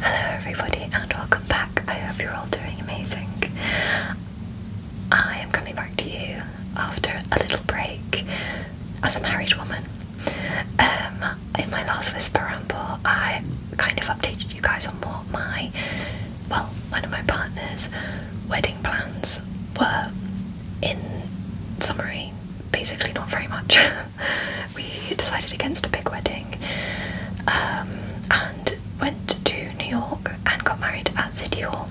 Hello, everybody, and welcome back. I hope you're all doing amazing. I am coming back to you after a little break as a married woman. Um, in my last Whisper Ramble, I kind of updated you guys on what my, well, one of my partner's wedding plans were in summary, basically, not very much. we decided against a big wedding um, and went to New York and got married at City Hall,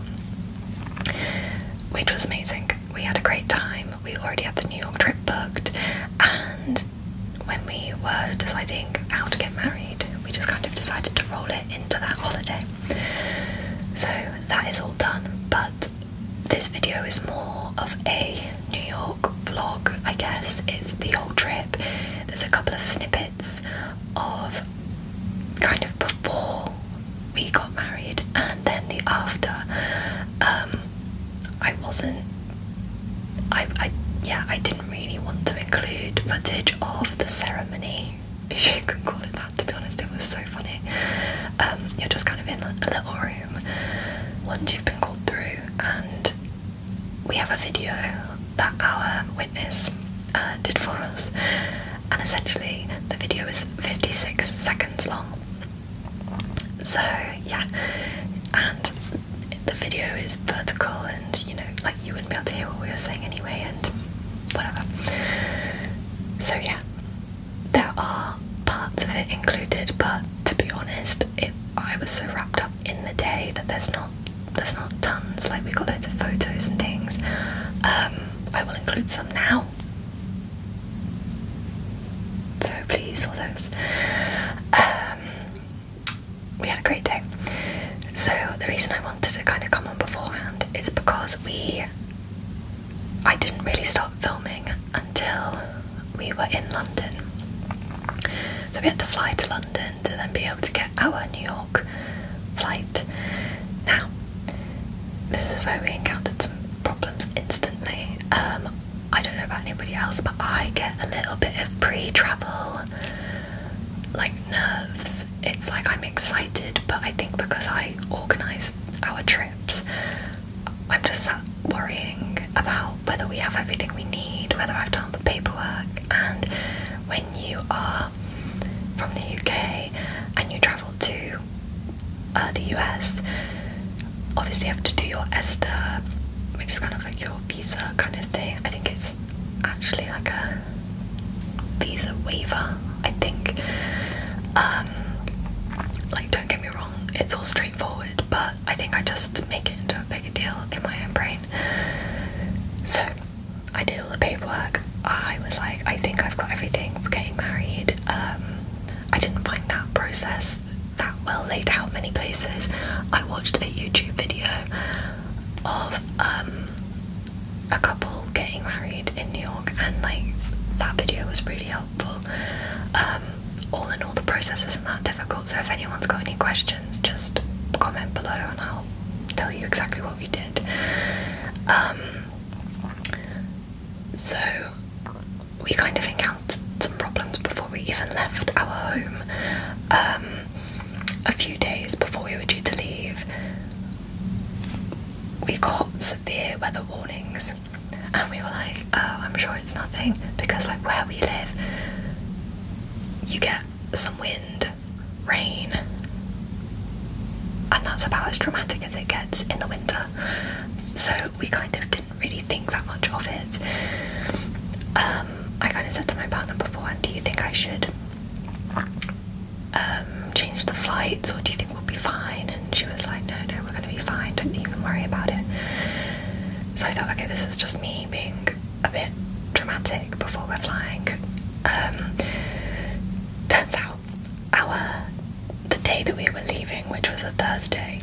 which was amazing. We had a great time. We already had the New York trip booked, and when we were deciding how to get married, we just kind of decided to roll it into that holiday. So that is all done, but this video is more of a New York vlog, I guess. It's the whole trip. There's a couple of snippets of kind of before we got married and then the after. Um, I wasn't. I, I yeah, I didn't really want to include footage of the ceremony, if you can call it that. To be honest, it was so funny. Um, you're just kind of in a little room once you've been called through and we have a video that our witness uh, did for us and essentially the video is 56 seconds long so yeah and the video is vertical and you know like you wouldn't be able to hear what we were saying anyway and whatever so yeah there are parts of it included, but to be honest, it, I was so wrapped up in the day that there's not there's not tons. Like we got loads of photos and things. Um, I will include some now. So please all those. Um, we had a great day. So the reason I wanted to kind of come on beforehand is because we I didn't really stop filming until we were in London. So we had to fly to London to then be able to get our New York flight. Now, this is where we encountered some problems instantly. Um, I don't know about anybody else, but I get a little bit of pre-travel like nerves. It's like I'm excited, but I think because I organise our trips, I'm just worrying about whether we have everything we need, whether I've done all the paperwork. And when you are from the UK and you travel to uh, the US, obviously you have to do your ESTA, which is kind of like your visa kind of thing. I think it's actually like a visa waiver, I think. Um, like, don't get me wrong, it's all straightforward, but I think I just make it into a bigger deal in my own brain. So I did all the paperwork. I was like, I think I've got everything for getting married. Um, I didn't find that process that well laid out many places. I watched a YouTube video of um, a couple getting married in New York, and like that video was really helpful. Um, um, all in all, the process isn't that difficult. So if anyone's got any questions, just comment below and I'll tell you exactly what we did. Um, so we kind of encountered some problems before we even left our home. Um, a few days before we were due to leave, we got severe weather warnings and we were like, oh, I'm sure it's nothing because, like, where we live, you get some wind, rain, and that's about as dramatic as it gets in the winter. So we kind of didn't really think that much of it. Um, I kind of said to my partner before, do you think I should um, change the flights or do you think we'll be fine? and she was like, no, no, we're gonna be fine, don't even worry about it. So I thought, okay, this is just me being a bit dramatic before we're flying. Um, turns out, our the day that we were leaving, which was a Thursday,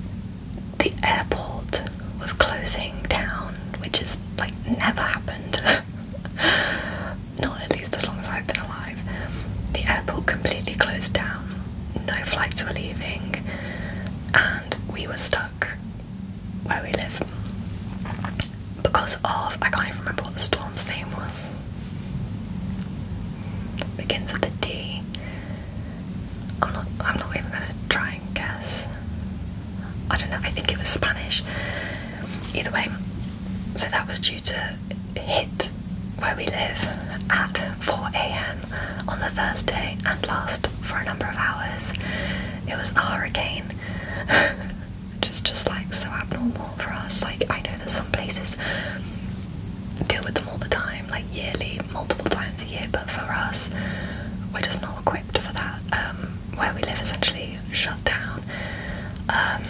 the airport was closing down, which is like never happened. Not at least as long as I've been alive. The airport completely closed down no flights were leaving, and we were stuck where we live because of I can't even remember what the storm's name was. begins with a D. I'm not. I'm not even gonna try and guess. I don't know. I think it was Spanish. Either way, so that was due to hit where we live at 4 a.m on the Thursday and last for a number of hours. It was a hurricane, which is just like so abnormal for us. Like, I know that some places deal with them all the time, like yearly, multiple times a year, but for us, we're just not equipped for that. Um, where we live essentially shut down. Um,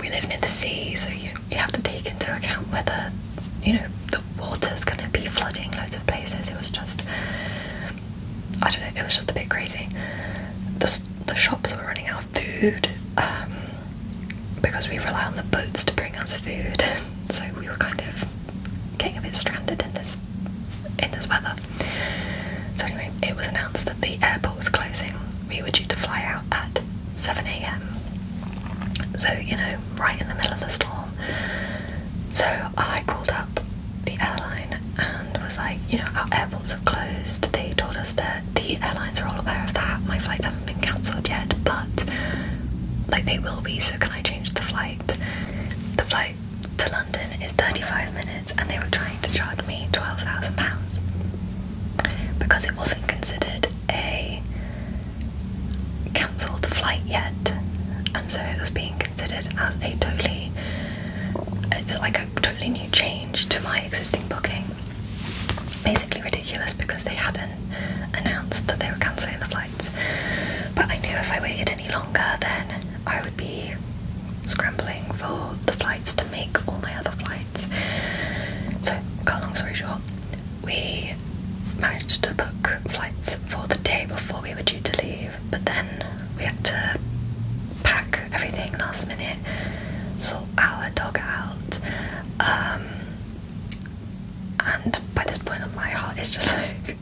we live near the sea, so you you have to take into account whether you know the water's going to be flooding loads of places. It was just I don't know. It was just a bit crazy. The the shops were running out of food um, because we rely on the boats to bring us food, so we were kind of getting a bit stranded in this in this weather. So anyway, it was announced that the airport was closing we were due to fly out at 7 a.m. So, you know, right in the middle of the storm. So I called up the airline and was like, you know, our airports are closed. They told us that the airlines are all aware of that. My flights haven't been cancelled yet, but like they will be, so can I change the flight? The flight to London is 35 minutes and they were trying to charge me £12,000 because it wasn't considered a cancelled flight yet, and so it was being considered as a totally, uh, like a totally new change to my existing booking. Basically ridiculous because they hadn't announced that they were cancelling the flights. But I knew if I waited any longer, then I would be scrambling for the flights to make all my other flights. So, cut long story short, we managed to book flights for the day before we were due to leave, but then we had to pack everything last minute, sort our dog out. Um, and by this point, on my heart is just like.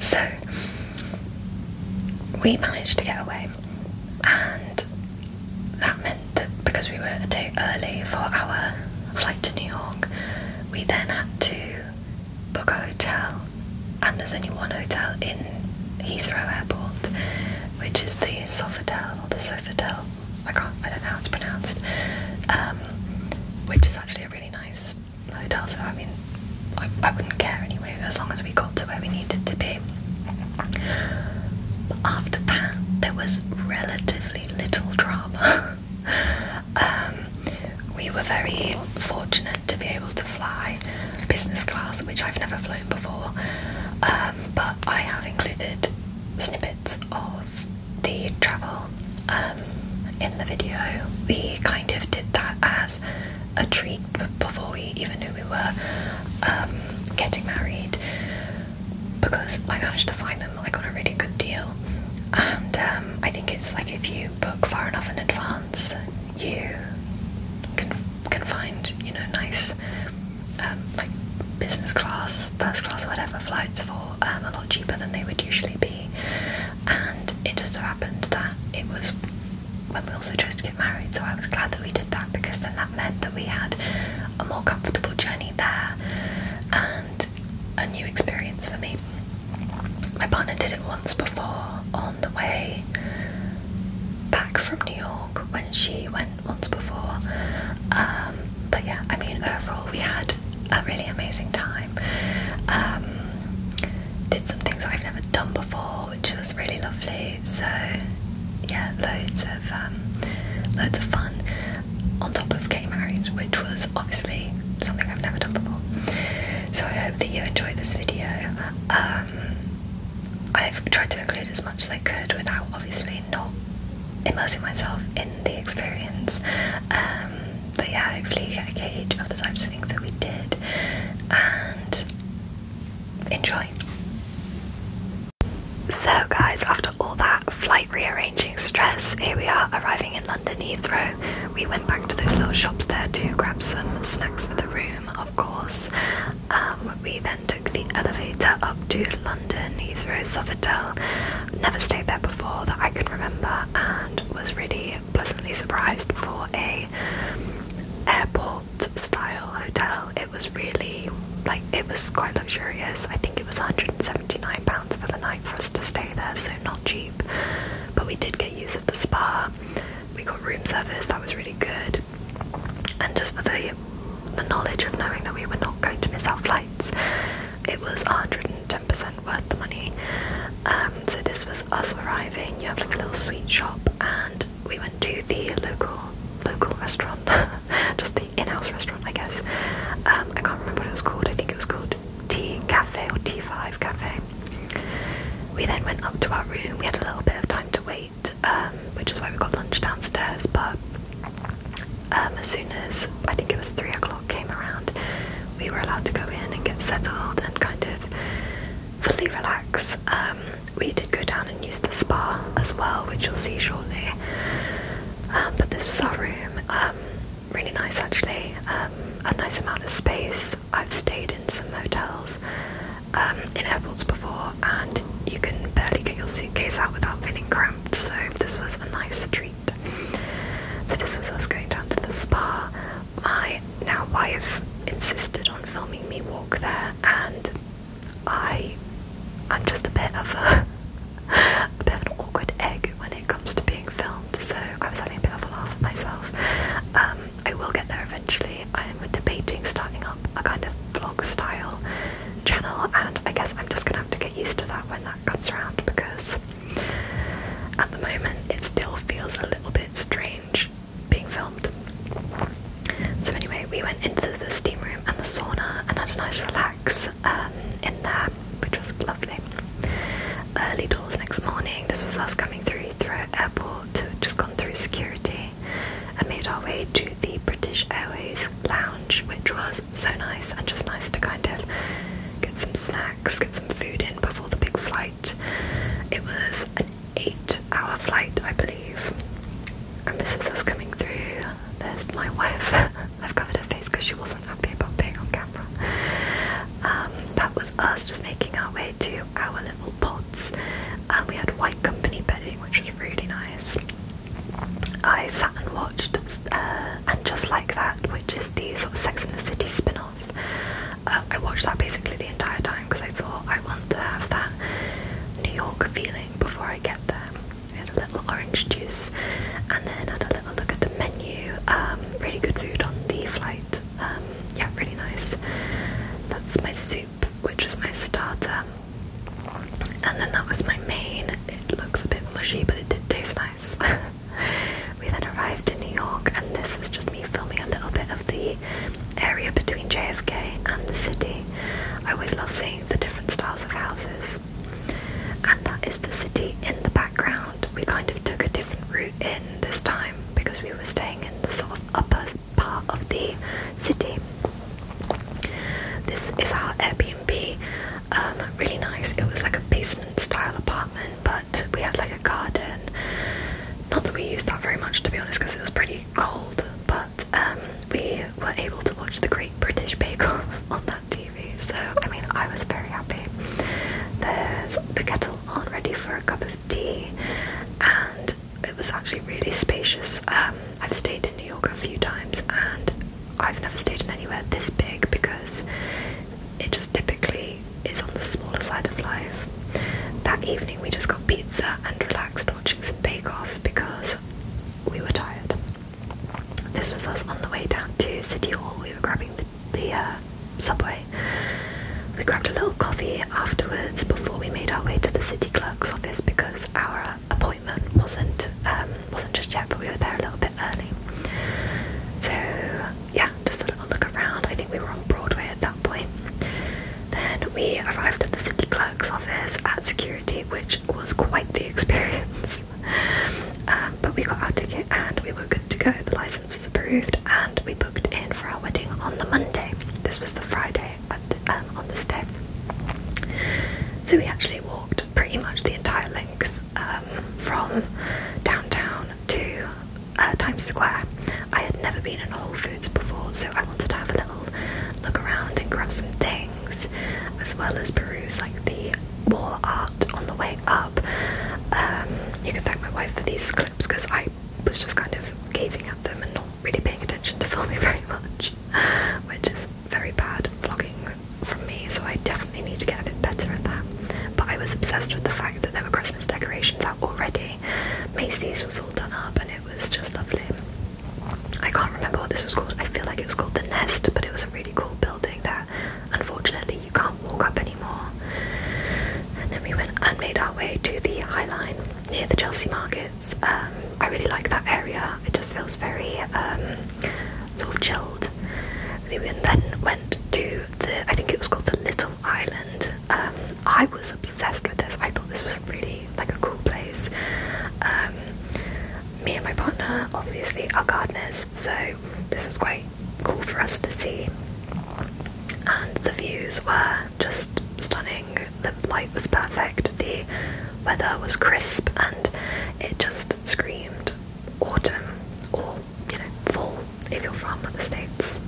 so, we managed to get away, and that meant because we were a day early for our flight to New York, we then had to book a hotel, and there's only one hotel in Heathrow Airport, which is the Sofitel or the Sofitel. I can't, I don't know how it's pronounced, um, which is actually a really nice hotel. So I mean, I, I wouldn't care anyway, as long as we got to where we needed to be after that, there was relatively little drama. Um, we were very fortunate to be able to fly business class, which I've never flown before, um, but I have included snippets of the travel um, in the video. We kind of did that as a treat before we even knew we were getting married because I managed to find them like on a really good deal. And um, I think it's like if you book far enough in advance, you can can find you know nice um, like business class, first class, whatever flights for um, a lot cheaper than they would usually be. And it just so happened that it was when we also chose to get married, so I was glad that we that because then that meant that we had a more comfortable journey there and a new experience for me. My partner did it once before on the way back from New York when she went once before. Um, but yeah, I mean, overall, we had a really amazing time. Um, did some things I've never done before, which was really lovely. So yeah, loads of um, loads of fun on top of getting married, which was obviously something I've never done before. So I hope that you enjoyed this video. Um, I've tried to include as much as I could without obviously not immersing myself in the experience. Um, but yeah, hopefully you get a gauge of the types of things that we did and enjoy. So, guys, after all that flight rearranging stress, here we are arriving in London Heathrow. We went back to those little shops there to grab some snacks for the room, of course. Um, we then took the elevator up to London Heathrow Sofitel. Never stayed there before that I can remember, and was really pleasantly surprised for a airport style hotel it was really like it was quite luxurious. I think it was 179 pounds for the night for us to stay there, so not cheap. But we did get use of the spa. We got room service that was really good, and just for the the knowledge of knowing that we were not going to miss out flights, it was 110% worth the money. Um, so this was us arriving. You have like a little sweet shop, and we went to the local local restaurant, just in-house restaurant, I guess. Um, I can't remember what it was called. I think it was called Tea Cafe or T5 Cafe. We then went up to our room. We had a little bit of time to wait, um, which is why we got lunch downstairs. But um, as soon as I think it was three o'clock came around, we were allowed to go in and get settled and kind of fully relax we did go down and use the spa as well, which you'll see shortly. Um, but this was our room. Um, really nice, actually. Um, a nice amount of space. I've stayed in some motels in airports before, and you can barely get your suitcase out without feeling cramped. So this was a nice treat. So this was us going down to the spa. My now wife insisted on filming me walk there, and I I'm just a bit of a, bit of an awkward egg when it comes to being filmed, so I was having a bit of a laugh at myself. Um, I will get there eventually. I'm debating starting up a kind of vlog style channel, and I guess I'm just gonna have to get used to that when that comes around because at the moment it still feels a little bit strange being filmed so anyway, we went into the steam room and the sauna and had a nice relax um, in there, which was lovely. Early doors next morning. This was us coming through through airport, just gone through security, and made our way to the British Airways lounge, which was so nice and just nice to kind of get some snacks, get some food in before the big flight. It was an eight our flight, I believe. And this is us coming through. There's my wife. I've covered her face because she wasn't happy about being on camera. Um, that was us just making our way to our little pods. And um, we had white company bedding, which was really nice. I sat and watched uh, And Just Like That, which is the sort of Sex in the City spin off. Uh, I watched that basically the entire time because I thought I want to have that New York feeling before I get there. We had a little orange juice and then had a little look at the menu. Um, really good food on the flight. Um, yeah, really nice. That's my soup, which was my starter. And then that was my main. It looks a bit mushy, but it did taste nice. we then arrived in New York, and this was just me filming a little bit of the area between JFK and the city. I always love seeing the different styles of houses. And that is the city in the background. We kind of took a different route in this time because we were staying in the sort of upper part of the city. This is our Airbnb, um, really nice. It was like a basement style apartment, but we had like a garden. Not that we used that very much to be honest, because it was pretty cold, but um, we were able to watch the Great British Bake Off on that TV. So I mean, I was very happy. There's the kettle on, ready for a cup of tea, and it was actually really spacious. Um, I've stayed in New York a few times, and I've never stayed in anywhere this big because it just typically is on the smaller side of life. That evening, we just got pizza and relaxed watching some Bake Off because we were tired. This was us on the way down to City Hall. We were grabbing the, the uh, subway. We grabbed a little coffee afterwards before we made our way to the city clerk's office because our appointment wasn't um, wasn't just yet, but we were there a little bit early. So yeah, just a little look around. I think we were on Broadway at that point. Then we arrived at the city clerk office at security, which was quite the experience. Um, but we got our ticket and we were good to go. The license was approved, and we booked in for our wedding on the Monday. This was the Friday at the, um, on this day. So we actually walked pretty much the entire length um, from downtown to uh, Times Square. I had never been in a whole before, so I wanted to have a little look around and grab some things, as well as peruse like the wall art on the way up. Um, you can thank my wife for these clips because I was just kind of gazing at them and not really paying attention to filming very much, which is very bad vlogging from me. So I definitely need to get a bit better at that. But I was obsessed with the fact that there were Christmas decorations out already. Macy's was all done up, and it was just lovely. I can't remember what this was called. I feel like it was called the Nest, but it was a really cool building that unfortunately you can't walk up anymore. And then we went and made our way to the Highline near the Chelsea Markets. Um, I really like that area. It just feels very um, sort of chilled. And then went to the I think it was called the Little Island. Um, I was obsessed with this. I thought this was really like a cool place. Um, me and my partner obviously are gardeners, so this was quite cool for us to see. And the views were just stunning. The light was perfect. The weather was crisp, and it just screamed autumn or you know fall if you're from the states.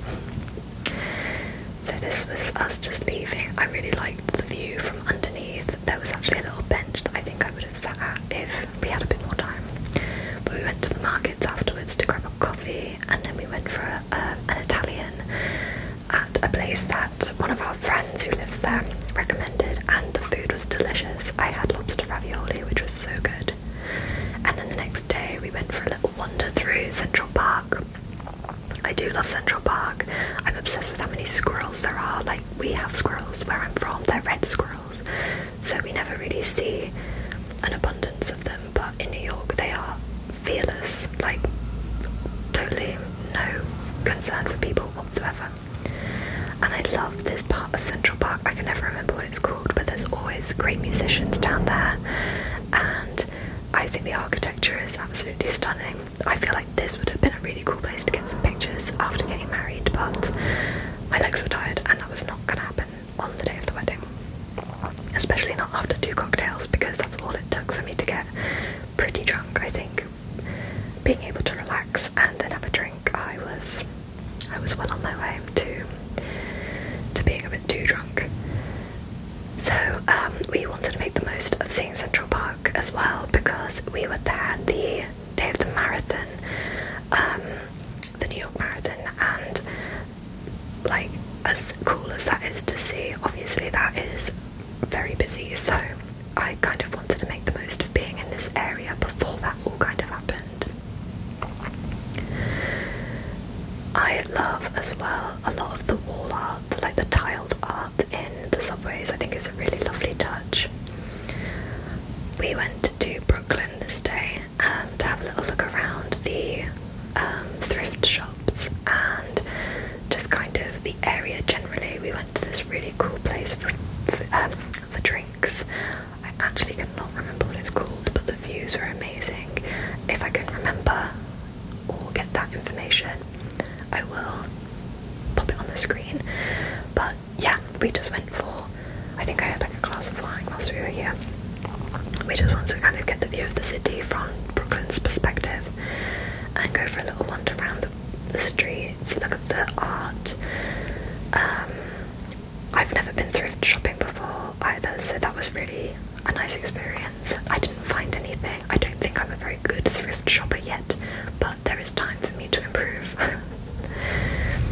So this was us just leaving. I really liked the view from underneath. There was actually a little bench that I think I would have sat at if we had a bit more time. But we went to the markets afterwards to grab a coffee, and then we went for an Italian at a place that one of our friends who lives there recommended, and the food was delicious. I had lobster ravioli, which was so good. And then the next day, we went for a little wander through Central Park. I do love Central Park. I'm obsessed with how many squirrels there are. Like, we have squirrels where I'm from, they're red squirrels. So we never really see an abundance of them, but in New York they are fearless, like, totally no concern for people whatsoever. And I love this part of Central Park. I can never remember what it's called, but there's always great musicians down there, and I think the architecture is absolutely stunning. I feel like this would have been a really cool place to get some pictures after getting married, but my legs were tired and that was not going to happen on the day of the wedding. Especially not after two cocktails, because that's all it took for me to get pretty drunk, I think. Being able to relax and then have a drink, I was I was well on my way to to being a bit too drunk. So um, we wanted to make the most of seeing Central Park as well because we were there the day of the marathon, um, the New York Marathon, and like as cool as that is to see, obviously that is very busy. So I kind of wanted to make the most of being in this area before that all kind of happened. I love as well a lot of the wall art like the tiled art in the subways, I think is a really lovely touch. We went to Brooklyn this day and um, to have a little look around the um, thrift shops and just kind of the area generally. We went to this really cool place for, for um, drinks. I actually cannot remember what it's called, but the views were amazing. If I can remember, or get that information, I will pop it on the screen. But yeah, we just went for, I think I had like a glass of wine whilst we were here. We just wanted to kind of get the view of the city from Brooklyn's perspective and go for a little wander around the, streets, look at the art. Um, I've never been thrift shopping before either, so that was pretty a nice experience. I didn't find anything. I don't think I'm a very good thrift shopper yet, but there is time for me to improve.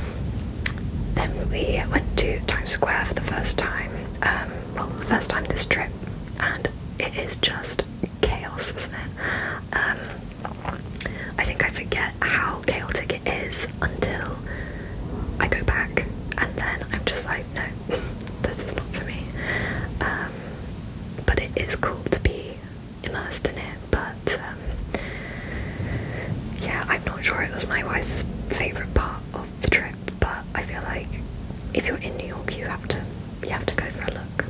then we went to Times Square for the first time. Um, well, the first time this trip, and it is just chaos, isn't it? Um, I think I forget how chaotic it is until I go back, and then I'm just like, no, this is not for me. Um, but it is cool to be immersed in it. But um, yeah, I'm not sure it was my wife's favorite part of the trip. But I feel like if you're in New York, you have to you have to go for a look.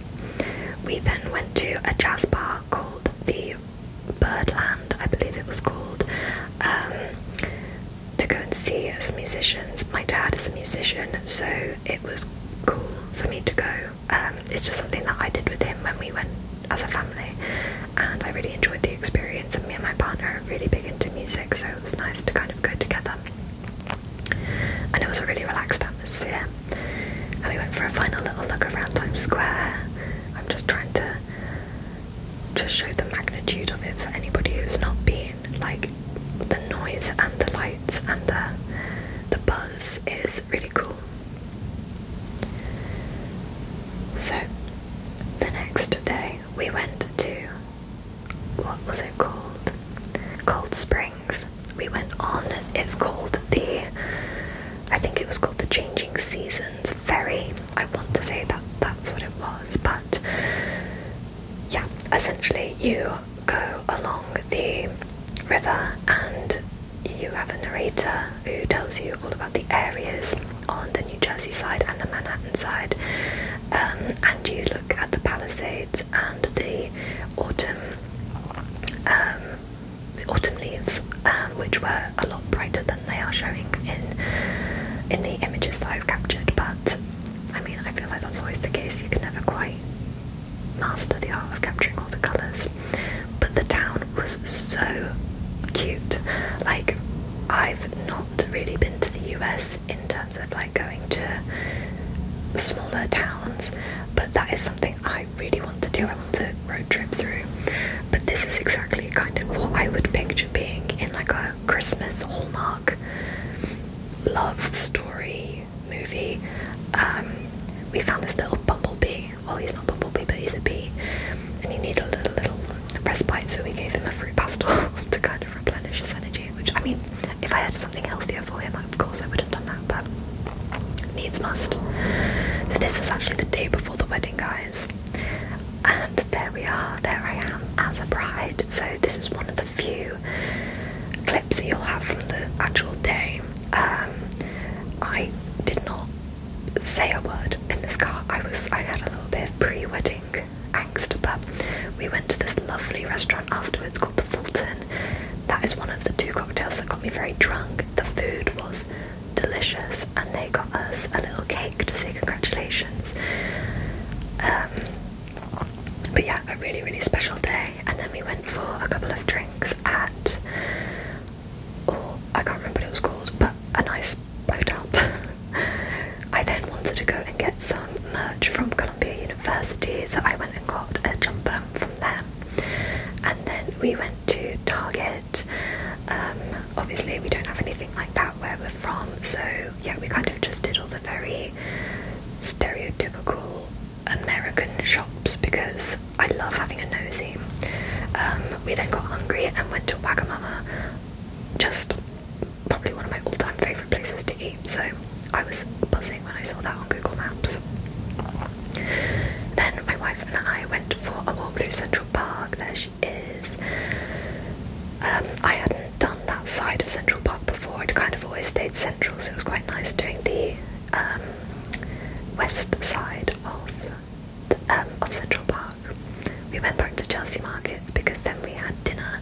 We then went to a jazz bar called the Birdland, I believe it was called. Um, to go and see as musicians. My dad is a musician, so it was cool for me to go. Um, it's just something that I did with him when we went as a family, and I really enjoyed the experience. And me and my partner are really big into music, so it was nice to kind of go together. And it was a really relaxed atmosphere. And we went for a final little look around Times Square. I'm just trying to just show the magnitude of it for anybody who's not been like the noise and the lights and the the buzz is really cool. So the next day we went to what was it called? Cold Springs. We went on it's called the I think it was called the Changing Seasons Ferry. I want to say that that's what it was, but yeah, essentially you go along the river and you have a narrator who tells you all about the areas on the New Jersey side and the Manhattan side, um, and you look at the Palisades and the autumn, um, the autumn leaves, um, which were a lot brighter than they are showing in in the images that I've captured. But I mean, I feel like that's always the case, you can never quite master the art of capturing all the colours. But the town was so cute. Like, I've not really been to the US in terms of like going to smaller towns, but that is something I really want to do. I want to road trip through. But this is exactly kind of what I would picture being in like a Christmas hallmark love story movie. Um, we found this little bumblebee. Well, he's not bumblebee, but he's a bee, and he needed a little, little respite, so we gave him a fruit pastel to kind of replenish his energy. Which I mean, if I had something healthier for him, of course I would have done that, but needs must. this is actually the day before the wedding, guys, and there we are, there I am as a bride. So, this is one of the few clips that you'll have from the actual day. Um, I did not say a word in this car. I was I had a little bit of pre-wedding angst, but we went to this lovely restaurant afterwards called the Fulton. That is one of the two cocktails that got me very drunk. The food was delicious, and they got us a little cake to say congratulations. Um, but yeah, a really, really special day. And then we went for a couple of drinks at, oh, I can't remember what it was called, but a nice hotel. I then wanted to go and get some merch from Columbia University, so I went and got a jumper from there. And then we went to Target. Um, obviously, we don't have anything like that where we're from, so yeah, we kind of just did all the very stereotypical American shops because I love having a nosy. Um, we then got hungry and went to Wagamama, just probably one of my all-time favourite places to eat. So I was buzzing when I saw that on Google Maps. Then my wife and I went for a walk through Central Park. There she is. Um, I hadn't done that side of Central Park before, it kind of always stayed central, so it was quite nice doing the um, west side of, um, of Central Park. We went back to Chelsea Markets because then we had dinner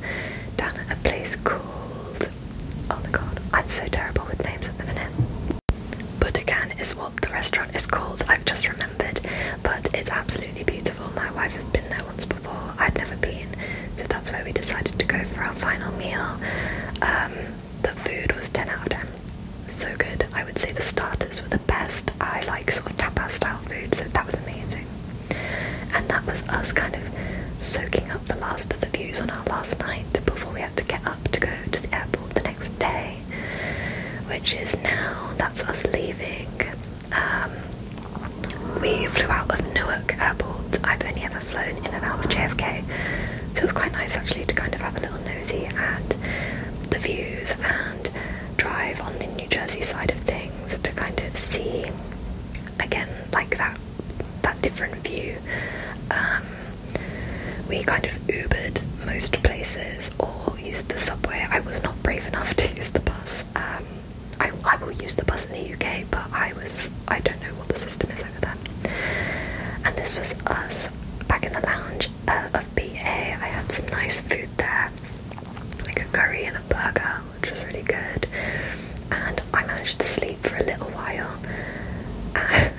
down at a place called. Oh my god, I'm so terrible with names at the minute. Budokan is what the restaurant is called, I've just remembered, but it's absolutely beautiful. My wife has been there once I'd never been, so that's where we decided to go for our final meal. Um, the food was 10 out of 10. So good. I would say the starters were the best. I like sort of tapas style food, so that was amazing. And that was us kind of soaking up the last of the views on our last night before we had to get up to go to the airport the next day, which is now that's us leaving um, we flew out of Newark Airport. I've only ever flown in and out of JFK, so it was quite nice actually to kind of have a little nosy at the views and drive on the New Jersey side of things to kind of see again like that that different view. Um, we kind of Ubered most places or used the subway. I was not brave enough to use the bus. Um, I, I will use the bus in the UK, but I was I don't know what the system is over there. And this was us back in the lounge uh, of BA. I had some nice food there, like a curry and a burger, which was really good. And I managed to sleep for a little while.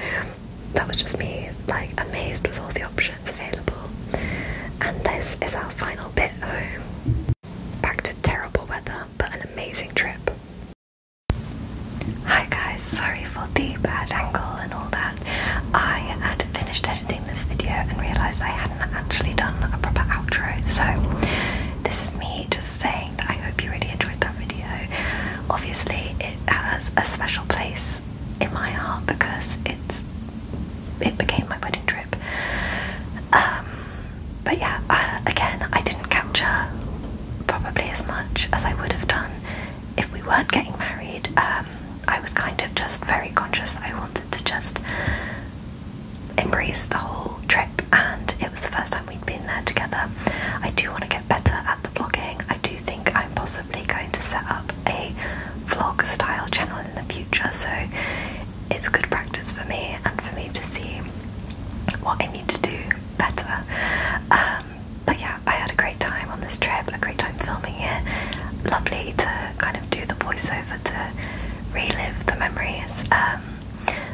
And that was just me, like amazed with all the options available. And this is our final bit home. Back to terrible weather, but an amazing trip. Hi guys, sorry for the bad angle and all that. I had finished editing this video and realised I hadn't actually done a proper outro, so this is me just saying that I hope you really enjoyed that video. Obviously, it has a special place in my heart because it's it became my wedding trip. Um, but yeah, uh, again, I didn't capture probably as much as I would have done if we weren't getting married. Um, I was kind of just very conscious. I wanted to just embrace the whole trip, and it was the first time we'd been there together. I do want to get better at the vlogging. I do think I'm possibly going to set up a vlog style channel in the future. So it's good practice for me and for me to see what I need to do better. Um, but yeah, I had a great time on this trip, a great time filming it. Lovely to kind of do the voiceover to relive the memories. Um,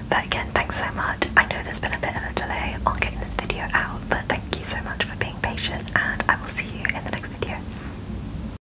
but again, thanks so much. I know there's been a bit of a delay on getting this video out, but thank you so much for being patient, and I will see you in the next video.